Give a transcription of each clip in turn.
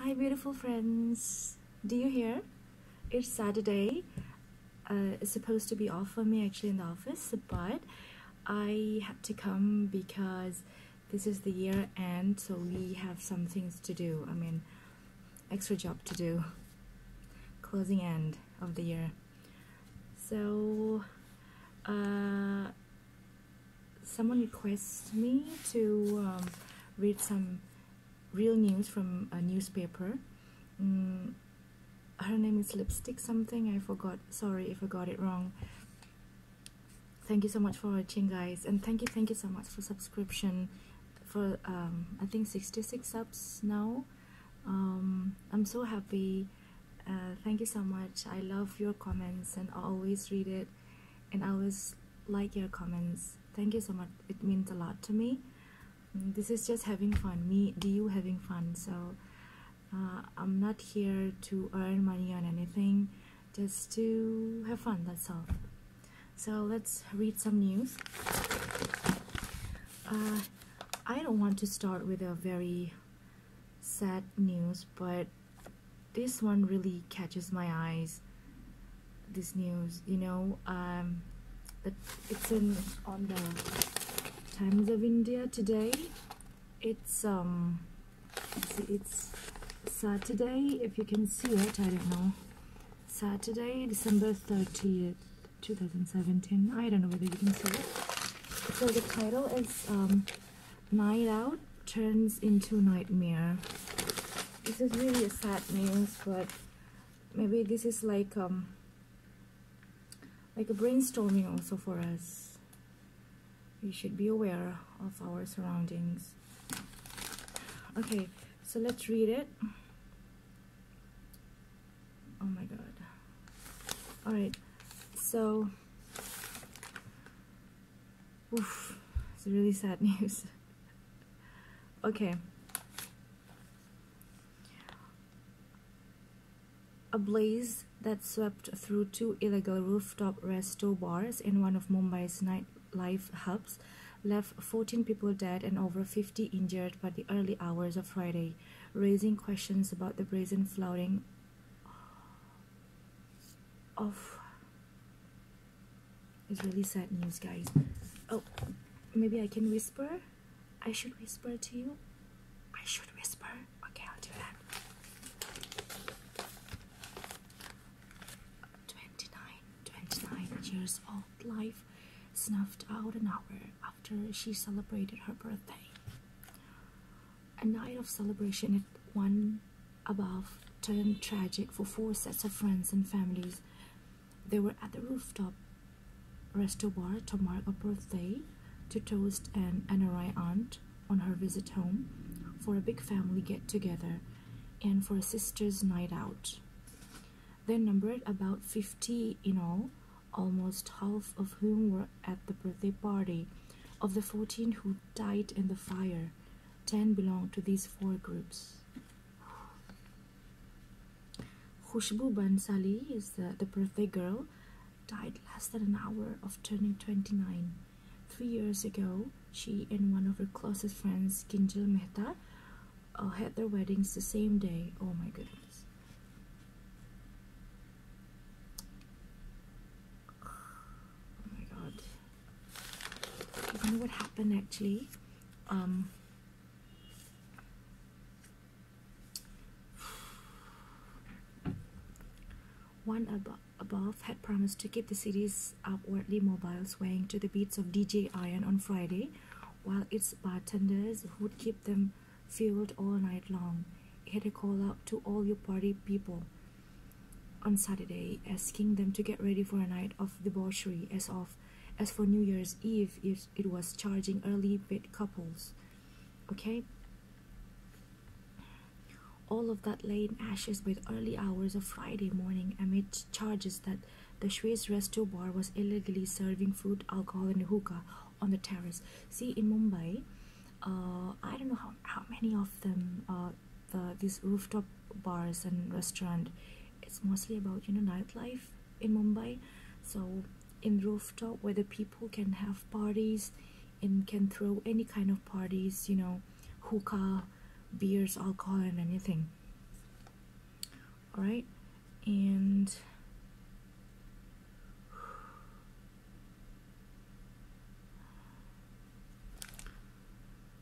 Hi, beautiful friends. Do you hear? It's Saturday. Uh, it's supposed to be off for me actually in the office, but I had to come because this is the year end, so we have some things to do. I mean, extra job to do. Closing end of the year. So, uh, someone requests me to um, read some real news from a newspaper. Mm, her name is Lipstick something, I forgot. Sorry if I got it wrong. Thank you so much for watching, guys. And thank you, thank you so much for subscription for, um, I think, 66 subs now. Um, I'm so happy. Uh, thank you so much. I love your comments and always read it and I always like your comments. Thank you so much. It means a lot to me. Mm, this is just having fun. Me, do you having fun? So uh, I'm not here to earn money on anything, just to have fun. That's all. So let's read some news. Uh, I don't want to start with a very sad news, but this one really catches my eyes. This news, you know, um, it's in on the Times of India today. It's um, see, it's Saturday. If you can see it, I don't know. Saturday, December thirtieth, two thousand seventeen. I don't know whether you can see it. So the title is um, night out turns into nightmare this is really a sad news but maybe this is like um like a brainstorming also for us we should be aware of our surroundings okay so let's read it oh my god all right so Oof, it's really sad news. okay. A blaze that swept through two illegal rooftop resto bars in one of Mumbai's nightlife hubs left 14 people dead and over 50 injured by the early hours of Friday, raising questions about the brazen flouting Oh, it's really sad news guys oh maybe i can whisper i should whisper to you i should whisper okay i'll do that 29 29 years old life snuffed out an hour after she celebrated her birthday a night of celebration at one above turned tragic for four sets of friends and families. They were at the rooftop restaurant to mark a birthday, to toast an NRI aunt on her visit home, for a big family get together, and for a sister's night out. They numbered about 50 in all, almost half of whom were at the birthday party. Of the 14 who died in the fire, 10 belonged to these four groups. Khushbu Sali is the, the birthday girl, died less than an hour of turning 29. Three years ago, she and one of her closest friends, Kinjal Mehta, uh, had their weddings the same day. Oh my goodness. Oh my god. You know what happened actually? Um, one ab above had promised to keep the city's outwardly mobile swaying to the beats of DJ Iron on Friday, while its bartenders would keep them Filled all night long. He had a call out to all your party people on Saturday, asking them to get ready for a night of debauchery. As of, as for New Year's Eve, it, it was charging early paid couples. Okay. All of that lay in ashes by the early hours of Friday morning, amid charges that the Swiss Resto Bar was illegally serving food, alcohol, and hookah on the terrace. See, in Mumbai, uh, I don't know how, how many of them, uh, the, these rooftop bars and restaurant, it's mostly about, you know, nightlife in Mumbai. So in rooftop where the people can have parties and can throw any kind of parties, you know, hookah, beers, alcohol and anything all right and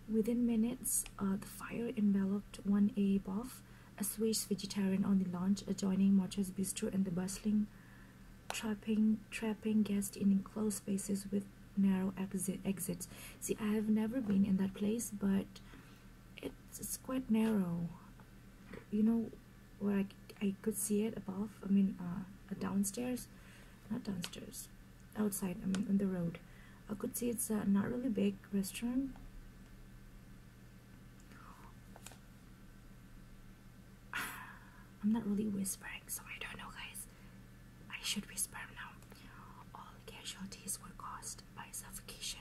Within minutes, uh, the fire enveloped one above, a Swiss vegetarian on the launch adjoining March's Bistro and the bustling, trapping, trapping guests in enclosed spaces with narrow exit, exits. See, I have never been in that place, but it's, quite narrow you know where I, could see it above I mean uh, downstairs not downstairs outside I mean on the road I could see it's uh, not really big restaurant I'm not really whispering so I don't know guys I should whisper now all casualties were caused by suffocation,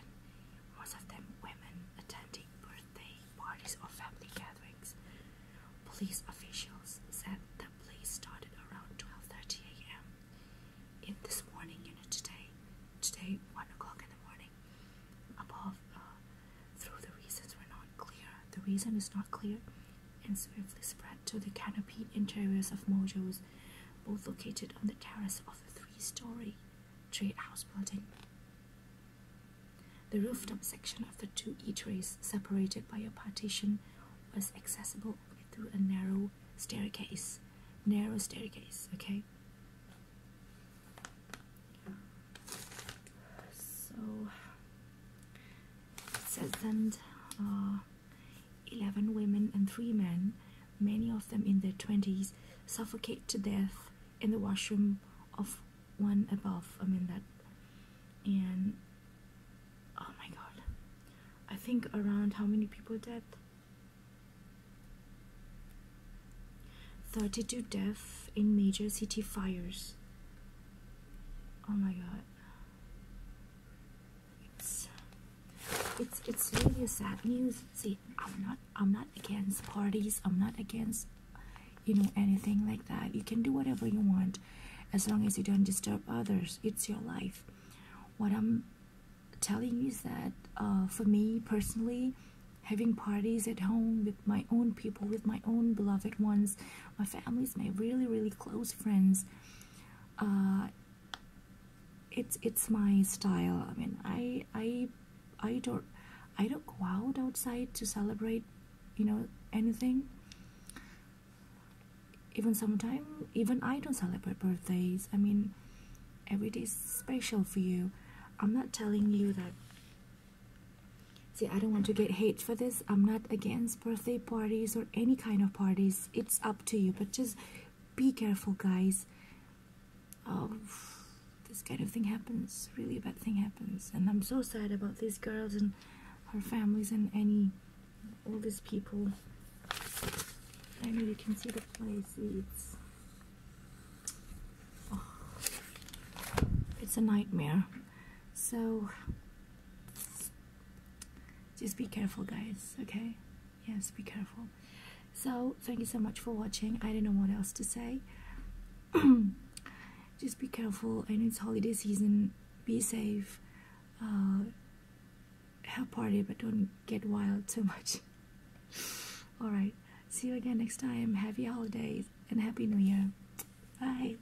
most of them women attending birthday parties or family gatherings. Police officials said the blaze started around 12:30 a.m. in this morning, unit today, today, one o'clock in the morning. Above, uh, through the reasons were not clear. The reason is not clear, and swiftly spread to the canopied interiors of mojos, both located on the terrace of three-story trade-house building. The rooftop section of the two eateries, separated by a partition, was accessible only through a narrow staircase. Narrow staircase, okay? So, it uh, Eleven women and three men, many of them in their twenties, suffocate to death in the washroom of one above. I mean that, and oh my god, I think around how many people dead? 32 deaths in major city fires. Oh my god it's it's it's really sad news. See, I'm not I'm not against parties. I'm not against you know anything like that. You can do whatever you want, as long as you don't disturb others. It's your life. What I'm telling you is that uh, for me personally, having parties at home with my own people, with my own beloved ones, my families, my really really close friends. Uh, it's it's my style. I mean, I I I don't I don't go out outside to celebrate, you know, anything. Even sometimes, even I don't celebrate birthdays. I mean, every day is special for you. I'm not telling you that. See, I don't want to get hate for this. I'm not against birthday parties or any kind of parties it's up to you but just be careful guys oh, this kind of thing happens really a bad thing happens and i'm so sad about these girls and her families and any all these people i know you can see the place it's oh, it's a nightmare so just be careful guys okay yes be careful so thank you so much for watching i don't know what else to say just be careful i know it's holiday season be safe uh have party but don't get wild too much all right see you again next time happy holidays and happy new year bye